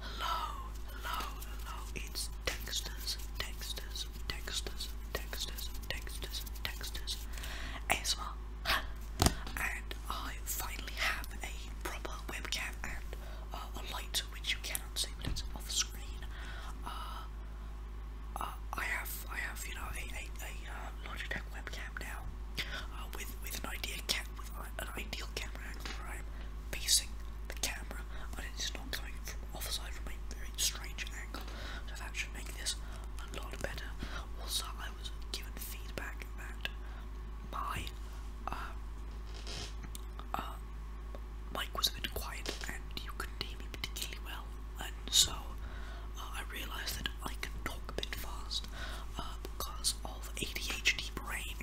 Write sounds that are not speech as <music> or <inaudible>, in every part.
Hello, hello, hello. It's Dexter's, Dexter's, Dexter's, Dexter's, Dexter's, Dexter's ASMR. and I finally have a proper webcam and uh, a light which you cannot see but it's off screen. Uh, uh, I have, I have, you know, a, a, a uh, Logitech webcam now uh, with with an idea cap with an ideal camera angle where I'm facing the camera, but it is not coming from off from a very strange angle. So that should make this a lot better. Also, I was given feedback that my um, uh, mic was a bit quiet and you couldn't hear me particularly well, and so uh, I realised that I can talk a bit fast uh, because of ADHD brain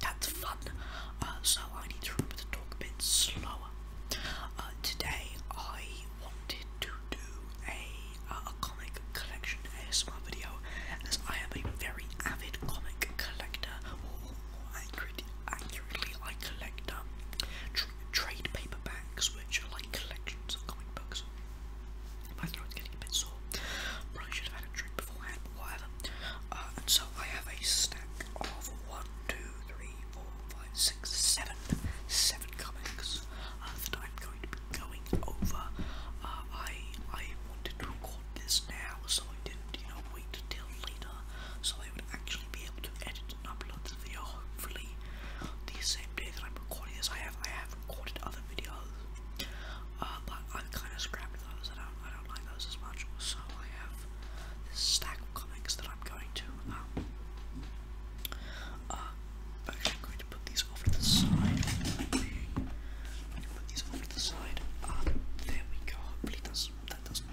that's fun. Uh, so I need to talk a bit slower. Uh, today I wanted to do a, uh, comic collection ASMR video as I am a very avid comic collector, or more accurately, I collect um, trade paperbacks, which are like collections of comic books. My throat's getting a bit sore. Probably should have had a drink beforehand, but whatever. Uh, and so I have a stack of one, two, three, four, five, six, seven, seven comics uh, that I'm going to be going over. Uh, I I wanted to record this now, so I didn't, you know, wait till later, so I would actually be able to edit and upload the video. Hopefully, the same day that I'm recording this, I have I have recorded other videos. Uh, but I'm kind of scrappy those. I don't, I don't like those as much. So I have this stack of comics that I'm going to. Um, uh, actually, going to put these over to the side. put these over to the side. Uh, there we go. Hopefully, that's, that doesn't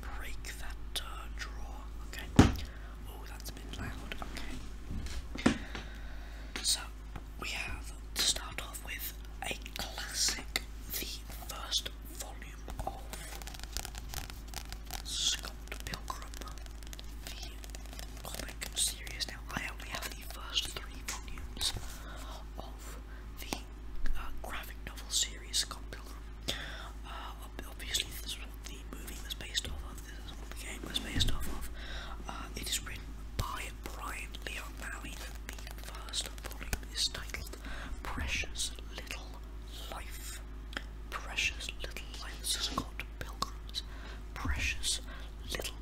break that uh, drawer. Okay. Oh, that's been loud. Okay. So we have to start off with a classic, the first volume of Scott Pilgrim, the comic series. Now, I only have the first three volumes of the uh, graphic novel series Scott Pilgrim. Uh, obviously, this is what the movie was based off of, this is what the game was based off of. Uh, it is written by Brian Leo Bowie first volume is titled Precious Little Life. Precious Little Life. is called Pilgrim's Precious Little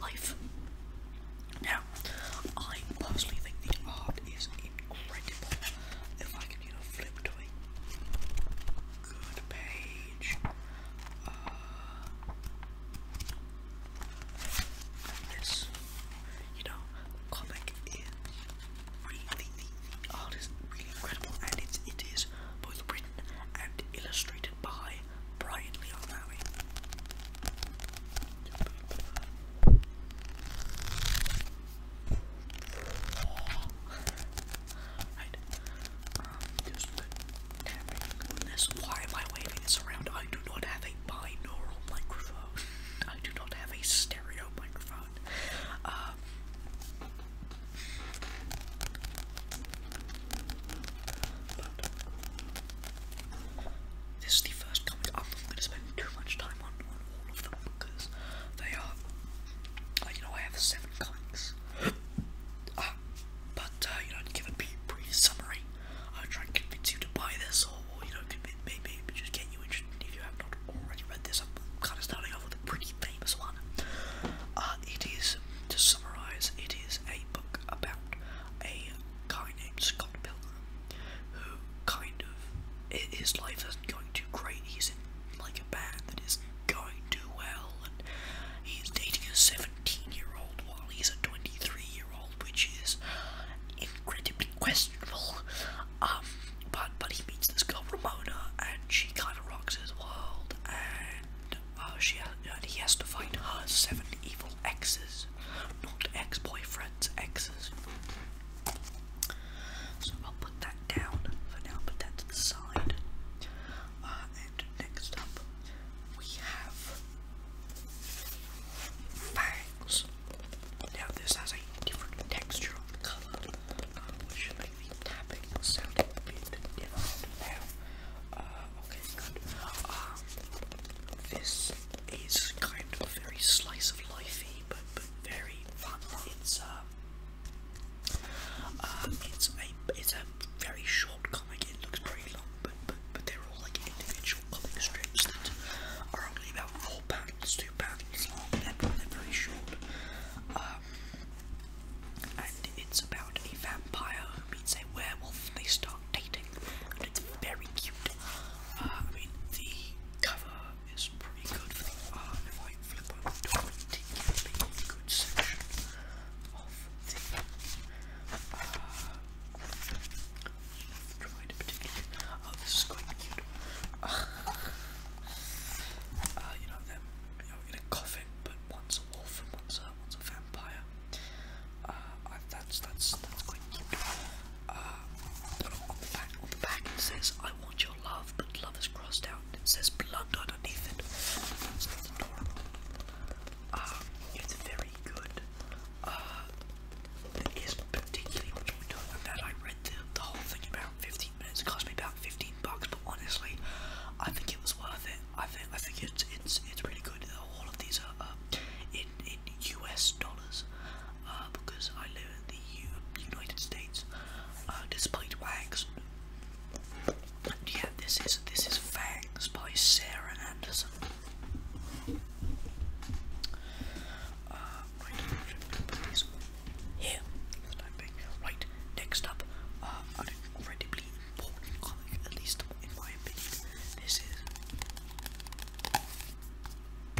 Life. Now, I personally think the art is incredible. If I can, flip to a good page. Uh, this, you know, go back and read the, really incredible and it's, both written and illustrated by Brian Leon Lowry. Um, why am I waving this around? I do not have a binaural microphone. <laughs> I do not have a stereo microphone. Uh, this is the first comic I'm not going to spend too much time on, on all of them because they are. Uh, you know, I have seven comics. <coughs> Uh, but, you know, to give a brief summary, I'll try and convince you to buy this, or you know, maybe, maybe just get you interested if you have not already read this. I'm kind of starting off with a pretty famous one. Uh, it is, to summarise, it is a book about a guy named Scott Pilgrim, who kind of his life isn't going too great. He's in like a band that going too well, and he's dating a seventeen-year-old while he's a twenty-three. year which is incredibly questionable. Um, but but he meets this girl Ramona, and she kind of rocks his world, and uh, she and he has to find her seven evil exes, not ex-boyfriends, exes. So I'll put that down for now. Put that to the side, uh, next up, we have fangs. Now, this has a different texture of color, um, should make the tapping sound a bit different now. Uh, okay, good. Um, this is kind of very slice of lifey, but but very fun. It's uh, uh it's a it's a very short comic. It looks pretty long, but but they are all like individual comic strips that are only about four panels, two panels long, they're, they're very short. Um, and it's about a vampire who meets a werewolf they start dating, and it's very cute. Uh, I mean, the cover is pretty good for the art. Uh, if I flip over a good section of uh, Oh, this is quite cute. Uh, uh, you know them, you know, in a coffin, but one's a wolf and one's a one's a vampire. Uh, that's that's that's quite cute. on the back, on the back it says, "I want your love," but love is crossed out. It says blood underneath it. it's very good. Uh, particularly much more I read the, whole thing about 15 minutes. It cost me about 15 bucks, but honestly, I think it was worth it. I think I think it's it's it's really good. All of these are uh, in in US dollars uh, because I live in the United States. despite uh, wags. Yeah, this is this is Fangs by Sarah Anderson here. Right, next up, uh, an incredibly important comic, at least in my opinion. This is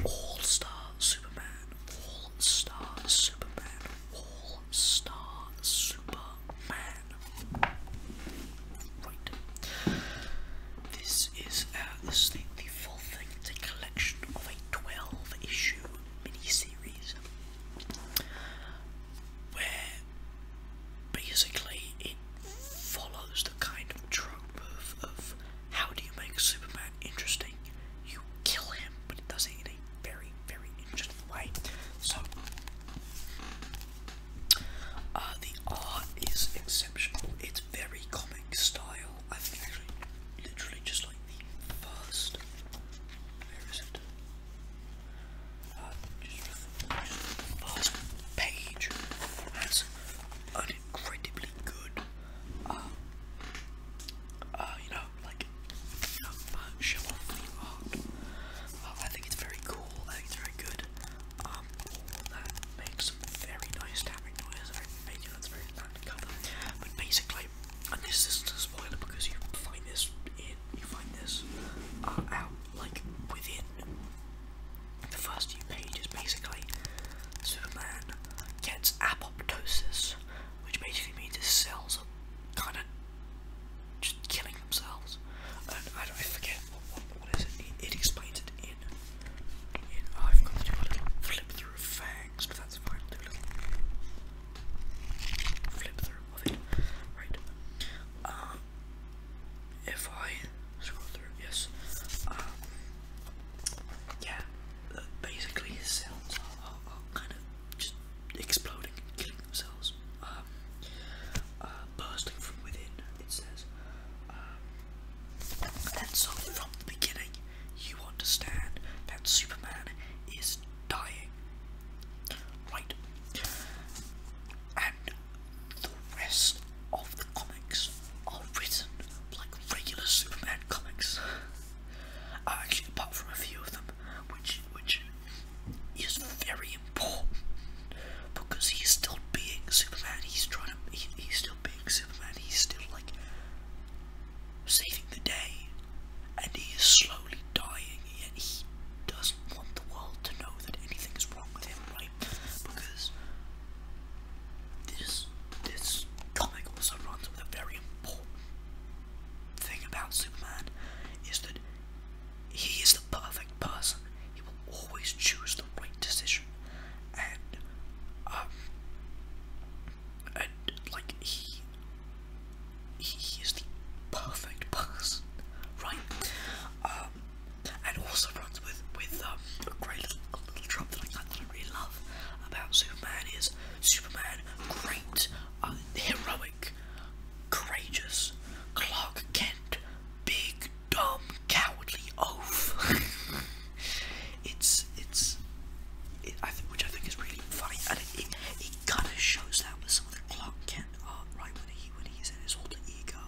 All Star Superman. All Star Superman. All Star Superman. This is this uh, is the, the full thing. It's a collection of a 12 issue mini-series, where basically it follows the kind of trope of, of how do you make Superman interesting? You kill him, but it does it in a very, very interesting way. So uh, the art is exceptional. It's very comic style. I think actually, literally just like the first. Where is it? Uh, just, first page has an incredibly good, uh, you know, like, you show off the art. I think it's very cool. I think it's very good um, that makes some very nice tapping noise, very familiar, that's very bad cover. But basically, and this isn't a spoiler because you find this you find this uh, out like within the first few pages. Basically, Superman gets apoptosis, which basically means his cells are kind of just killing themselves. And I, forget what, what, what is it? it. explains it in. in oh, I've got to do a little flip through of but that's fine. flip through of it. Right. Um, if I scroll through, yes. Um, yeah. Uh, basically, his cells are, are, kind of just exploding and killing themselves. Uh, uh, bursting from within, it says. Uh, and so from the beginning, you understand that Superman is dying. Right. And the rest of the comics are written like regular Superman comics. Uh, actually, apart from a few of them, which which is very important because he's still being Superman. He's trying to. he's still being Superman. He's still like saving the day, and he is slowly dying. Yet he doesn't want the world to know that anything is wrong with him, right? Because this this comic also runs with a very important thing about Superman is that he is the perfect person. He will always choose the right decision, and um, and like he, he is the perfect person, right? Um, and also runs with with um a great little, a little trope that I that I really love about Superman is Superman, great, um, heroic, courageous, Clark Kent, big dumb, cowardly oaf. <laughs> it's it's, it, I think, which I think is really funny, and it, it, it kind of shows that with some of the Clark Kent art, right? When he when he's in his alter ego,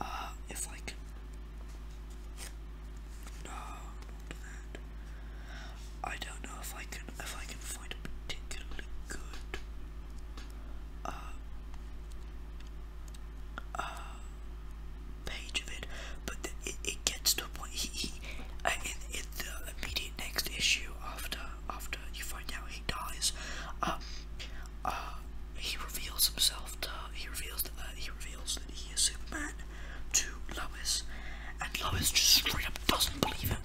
uh, if like, no, not that. I don't know if I can if I can find a particularly good. Uh, uh, page of it, but it, gets to a point. He, in, the immediate next issue after after you find out he dies, um, uh, he reveals himself to he reveals that uh, he reveals that he is Superman to Lois, and Lois just straight up doesn't believe him.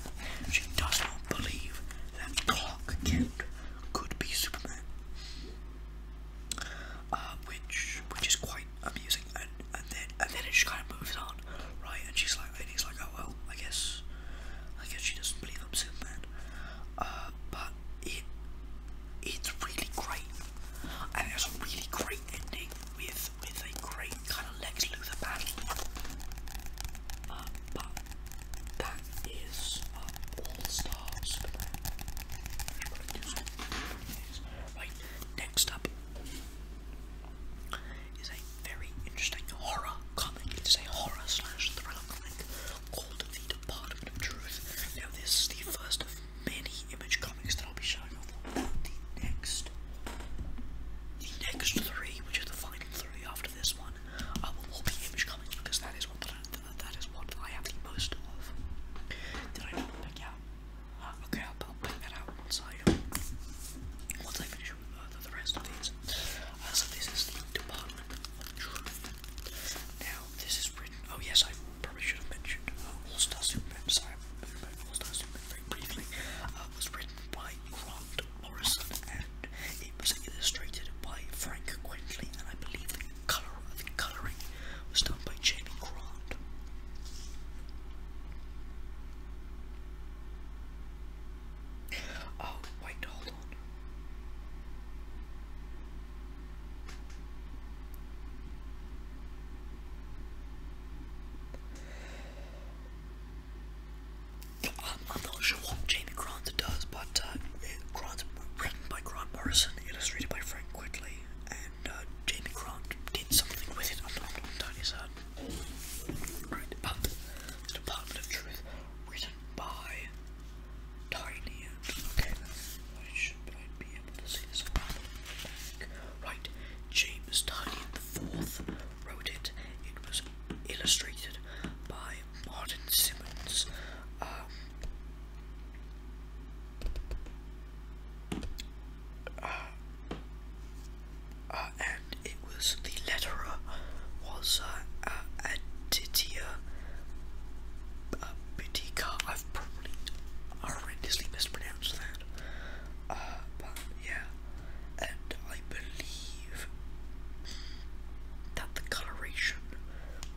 She does not believe that Clark Kent could be Superman. Uh, which which is quite amusing. And and then and then it just kind of moves on, right? And she's like, and he's like, oh well, I guess, I guess she doesn't believe I'm Superman. Uh, but it it's really great, and it's a really great ending with with a great kind of Lex Luthor battle. Uh, that is all the stars Right, next up is a very interesting horror comic. It's a horror slash thriller comic called The Department of Truth. Now, this is the first of many image comics that I'll be showing off the next. The next three, which is the final three after this one, uh, will all be image comics because that is what that is what I have most of. Did I not pick out? Uh, okay, I'll, pick that out once once I finish with uh, the, rest of these. Uh, this is the Department of Truth. Now, this is written, oh yes, I probably should have mentioned uh, All-Star Superman, sorry, All-Star Superman briefly, was written by Grant Morrison and was illustrated by Frank Quentley, and I believe the color the colouring was done by Jamie Grant. Oh, wait, hold on. I'm not sure what Jamie Grant does, but uh, it, written by Grant Morrison, illustrated by Frank Quigley, and uh, James Grant did something with it. I'm not entirely certain. the Department of Truth, written by Tiny. Okay, why should I be able to see this? Right, James Tiny the Fourth wrote it. It was illustrated by Martin Simmons. Um, uh, uh, and it was the letterer was uh, uh, Aditya uh, I've probably horrendously mispronounced that. Uh, yeah, and I believe that the coloration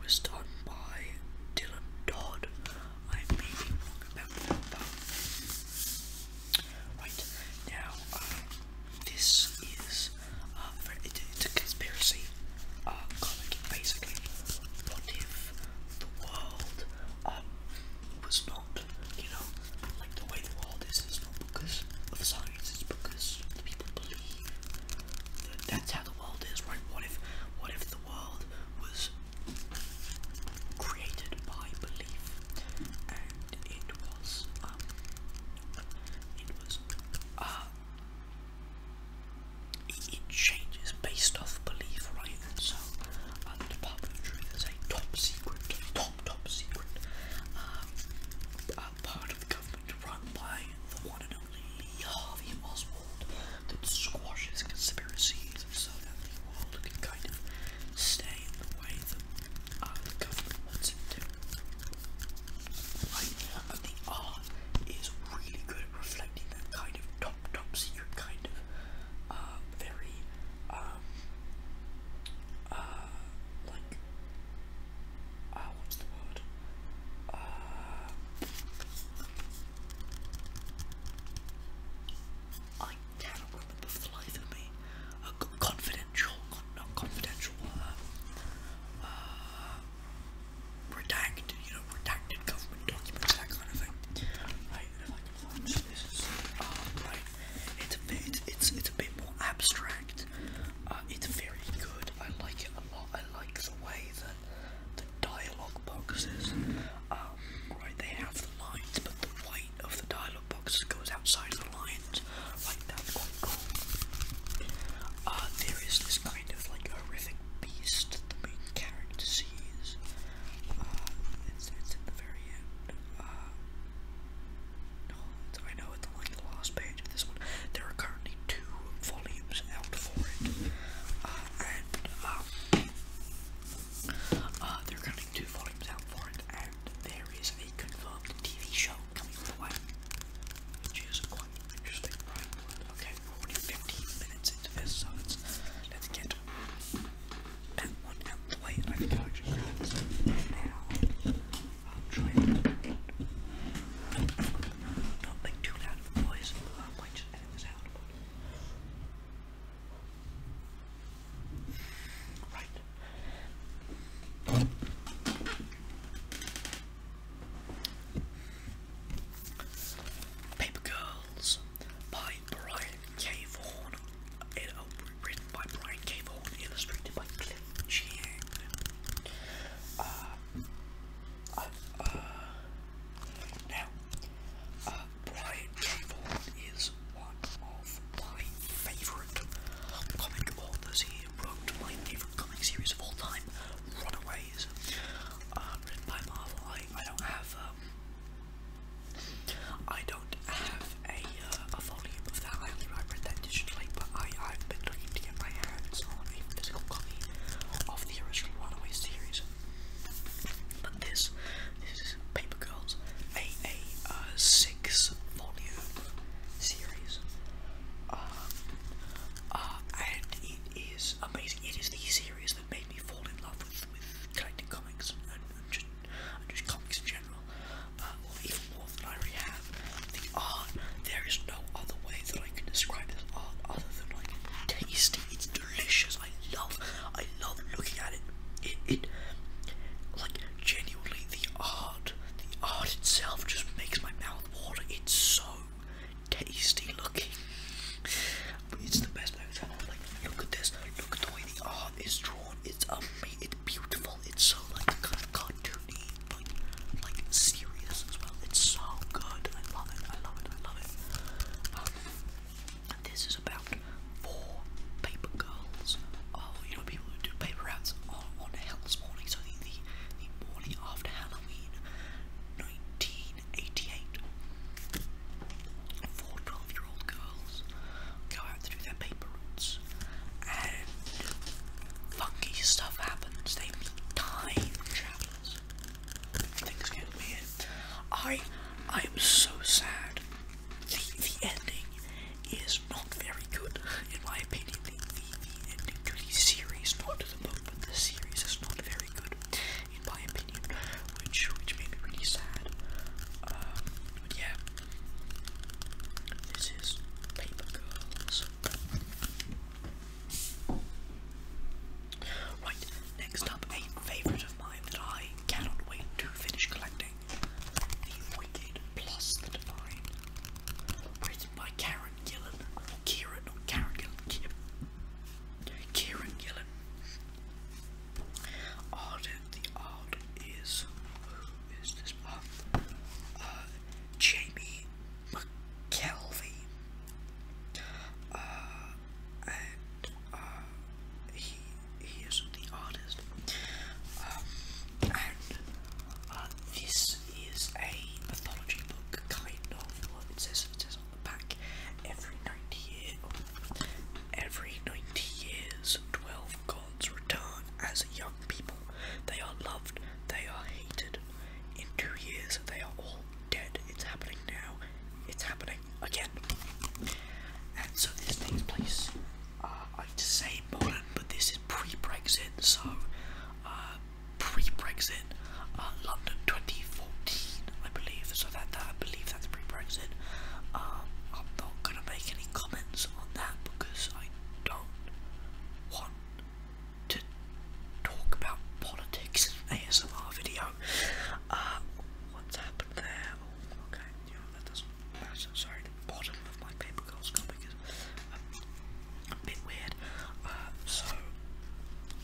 was done by Dylan Dodd. I may be wrong about that, but now, um, this is uh, it's a conspiracy uh, comic. Basically, what if the world um, was not, you know, like the way the world is? It's not because of science. It's because the people believe that's how the world is, right? What if what if the world was created by belief and it was um, it was uh it, changes based off belief, right? And so uh, the Department of Truth is a top secret, top top secret um, uh, part of the government run by the one and only Harvey Oswald that squashes conspiracies so that the world can kind of stay in the way that uh, the government wants to. Right? And the R is really good at reflecting that kind of top, top secret kind of uh, very, um, uh, like uh, what's the word? Ah. I cannot remember the life of me. confidential, not confidential, uh, uh, redacted, you know, redacted government documents, that kind of thing. I can find this, is, uh, it's a bit, more abstract. Uh, it's very good. I like it a lot. I like the way that the dialogue boxes. Um, right, they have the lines, but the white of the dialogue boxes goes outside the lines. Like that's quite cool. Uh, there is this kind of like horrific beast the main character sees. Uh, it's, at the very end. Uh, oh, I know at like the last page of this one. There are currently two volumes out for it, uh, and um, uh, they're counting two volumes out for it, and there is a confirmed TV show coming the which is quite interesting. Okay, we minutes into this, so let's let's get that one out the way. I think I'll actually now. I'll try and not make too loud out of the voice. I this out. Right. Paper Girls by Brian K. Vaughan. It, written by Brian K. Vaughan, illustrated by Cliff Chiang. Uh, now, uh, Brian Trayvon is one of my favourite comic authors. He wrote my favourite comic series of all time, Runaways, written by Marvel. I, I don't have, um, I don't have a, uh, a volume of that. I, I read that digitally, but I, I've been to get my hands on a physical copy of the original Runaway series. But this, this is Paper Girls, a, a uh, six volume series. Um, uh, and it is amazing. It is the series that made me fall in love with, with collecting comics and, just, just comics in general. Uh, or even more than I already have the art. There is no other way that I can describe this art other than like tasty. It's delicious. I love, I love looking at it. It, it, like genuinely, the art, the art itself just makes my mouth water. It's so tasty looking. it's the best I've ever. Like, look at this. Look at the way the art is drawn. It's amazing. It's beautiful. It's so like kind of cartoony like like serious as well. It's so good. I love it. I love it. I love it. Um, this is about four paper girls. Oh, you know people who do paper routes on, on Hell's So the, the morning after Halloween, 1988. 4 12-year-old girls go out to do their paper routes, and funky stuff happens. They meet time travelers. I I am so sad. The the ending is not very good in my opinion. The the, the ending to the series, not to the book, but the series is not very good in my opinion, which which made me really sad. Um, but yeah. This is Paper Girls. Right, next up, a favourite of mine that I cannot wait to finish collecting The Wicked Plus the Divine. Written by Karen Gillan, or Kieran, Karen Gillan, Kieran, Gillan. Art, the art is, who is this, uh, uh Jamie McKelvey. Uh, and uh, he, he is the artist. Um, and uh, this is a mythology book, kind of. Well, it says, it says on the back, every 90 years, every 90 years, 12 gods return as young people. They are loved, they are hated. In two years, they are all dead. It's happening now. It's happening again. And so this takes uh, I'd say modern, but this is pre-Brexit, so uh, pre-Brexit, uh, London 2014, I believe. So that, I believe that's pre-Brexit. Um, I'm not gonna make any comments on that because I don't want to talk about politics ASMR video. Uh, what's happened there? Oh, okay, Sorry, the bottom of my paper girls comic is a, a bit weird. Uh, so,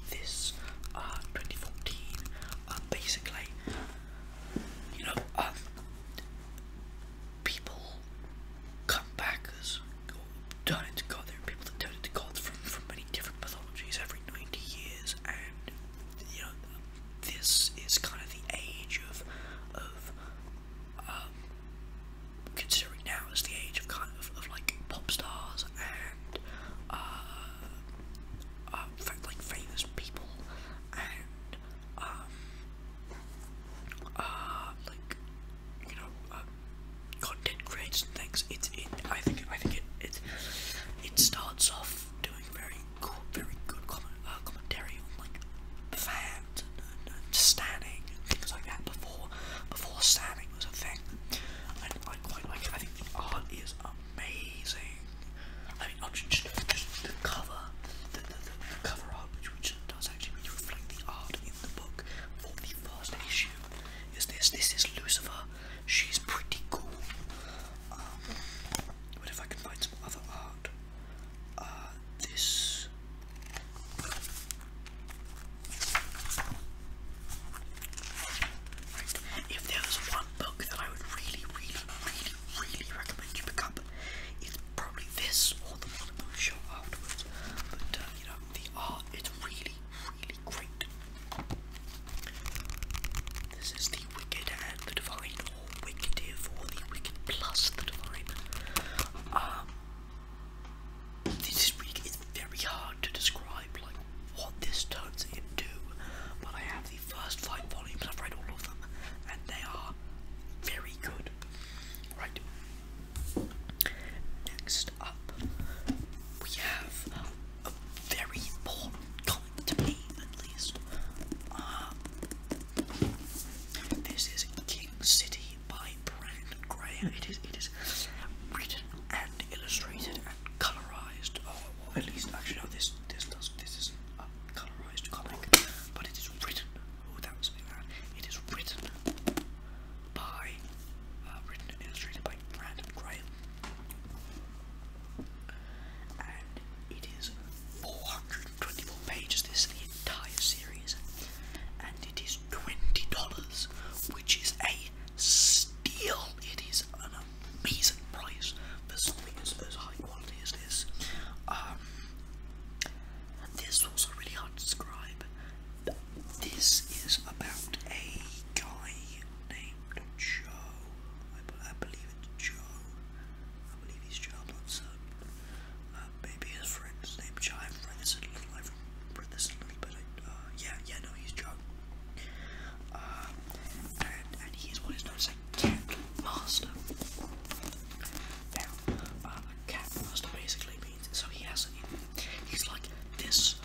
this uh, 2014, basically, you know, um, people come back done into God. There are people that turn into gods from, from many different mythologies every 90 years, and you know, this is kind of the age of, of um, considering now as the age of kind of, of like pop stars and, uh, uh, like famous people and, um, uh, like, you know, um, content creation things. It's it. I think I think it it it starts off doing very good, very good comment, uh, commentary on like fans and, and standing and things like that before before standing was a thing. And I quite like it. I think the art is amazing. I mean, not just, just the cover, the, the, the cover art, which, which does actually really reflect the art in the book for the first issue is this. This is Lucifer. She's pretty cool. Um, if I can find some other art, uh, this. Right. If there was one book that I would really, really, really, really recommend you pick up, it's probably this or the one show afterwards. But uh, you know, the art—it's really, really, great. This is the Wicked and the Divine, or Wicketive, or the Wicked plus the Divine. Um, this is very hard to describe, like what this turns into, but I have the first five volumes. I've read all of them, and they are very good. Right. Next up, we have a very important comic to me, at least. Um, this is King City by Brandon Graham. It is, it is written and illustrated and colorized. Oh, at least actually no, this this does this is a colorized comic, but it is written. Oh, that was a bit It is written by, uh, written and illustrated by Brandon Graham. And it is 424 pages, this is the entire series. And it is $20, which is a steal. It is an amazing price for something as, as high quality as this. Um, this was a really hard to describe, this is about a guy named Joe. I, believe it's Joe. I believe he's Joe, uh, maybe his friend's name Joe. i this little, I've read this little bit. Uh, yeah, yeah, no, he's Joe. Uh, and, and he's what is known as a cat master. Now, cat master basically means so he has an He's like this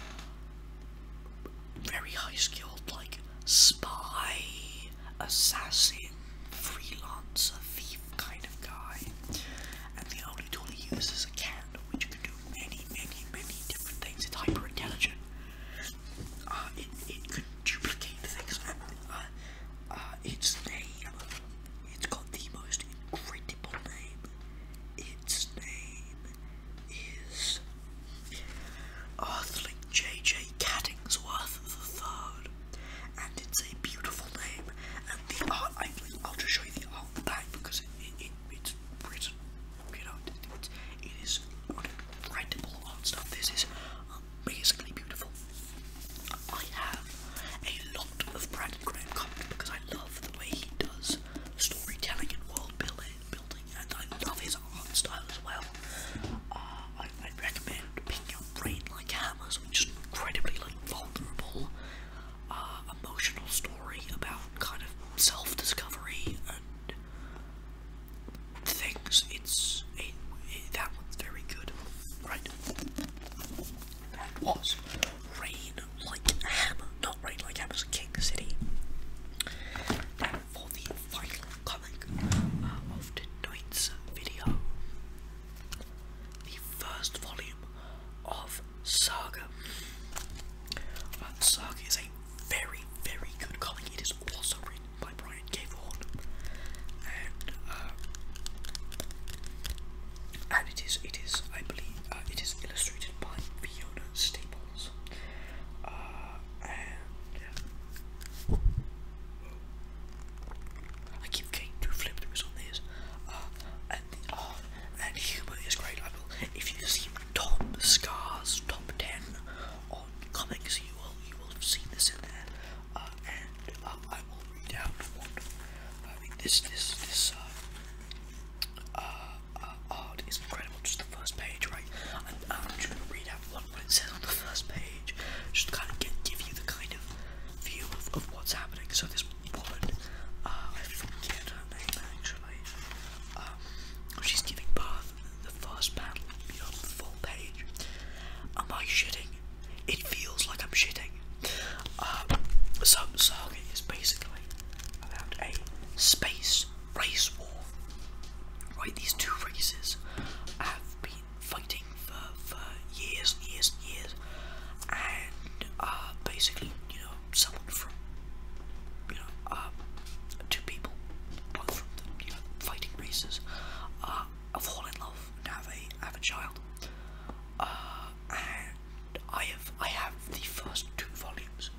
very high skilled, like spy, assassin, freelancer, thief kind of guy. And the only tool he uses is a can, which can do many, many, many different things. It's hyper intelligent. Uh, it, it could duplicate things. Uh, uh, its name, it's got the most incredible name. Its name is Earthling J.J. the third, and it's a beautiful name. And the art, I, believe, i will just show you the art back because it, it, it, it's you know, it, it is incredible art stuff. This is amazingly beautiful. I have a lot of Brandon Graham comment because I love the way he does storytelling and world building, building and I love his art style as well. Uh, I, would recommend Picking up Brain Like Hammers, which is incredibly vulnerable, uh, emotional story about kind of self-discovery and things. It's a that one's very good, right? That was rain like hammer, not rain like hammers, King City. for the final comic uh, of tonight's video, the first volume of Saga. Uh, Saga is a very, very good comic. It is also written by Brian K. Vaughan, and uh, it is, it is, I believe, uh, it is illustrated by Fiona staples. Uh, I keep getting too on these. Uh, uh, and humor is great. I will, if you've Top Scars Top Ten on comics, you will you will have seen this in there. and um, I will read out one. I mean, this this this art is incredible. Just the first page, right? And I'm gonna read out what it says on the first page, just kind of give you the kind of view of, what's happening. So this woman, uh, I forget her name actually. Um, she's giving birth. The first panel, you the full page. Am I shitting? It feels like I'm shitting. Um, so, so it's basically about a space race war. Right, these two races have been fighting for, years and years and years, and basically, you know, someone from, you know, uh, two people, both from the you know, fighting races, uh, are fall in love and have a have a child, uh, and I have I have the first two volumes.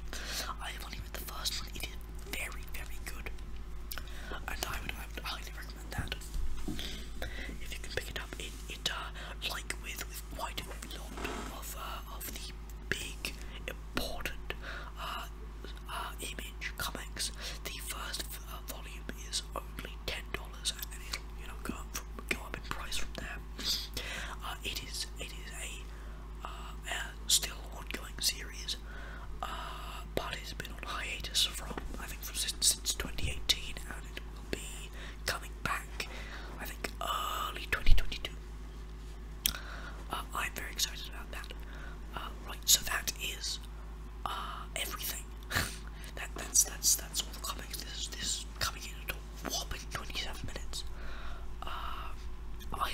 I have only read the first one. It is very very good, and I would, highly recommend that. If you can pick it up, it it uh, like with with quite a lot of uh, of the big important uh, uh, image comics. The first uh, volume is only ten dollars, and it you know go up go up in price from there. Uh, it is it is a uh, still ongoing series, uh, but it's been on hiatus from I think since, since 2018, and it will be coming back I think early 2022. Uh, I'm very excited about that. Uh, right, so that is uh, everything. <laughs> that that's that's that's all the comics. This this coming in at all whopping 27 minutes. Uh, I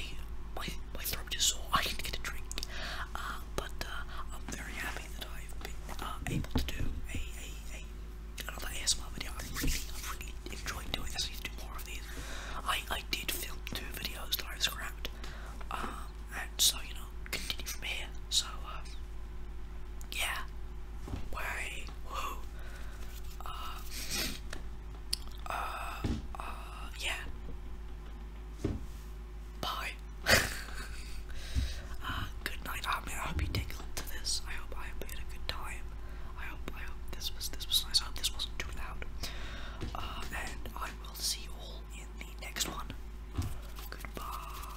my my throat is sore. <laughs> I didn't get a drink, uh, but uh, I'm very happy that I've been able to do another ASMR video. I really I really enjoy doing this. I need to do more of these. I I did film two videos that I scrapped, and so you know continue from here. So um, yeah, way whoa. Uh, uh, yeah. Bye. <laughs> uh, good night. I hope you take a look to this. I hope I hope you had a good time. I hope I hope this was this was nice. I hope this wasn't too loud. Uh, and I will see all in the next one. Goodbye.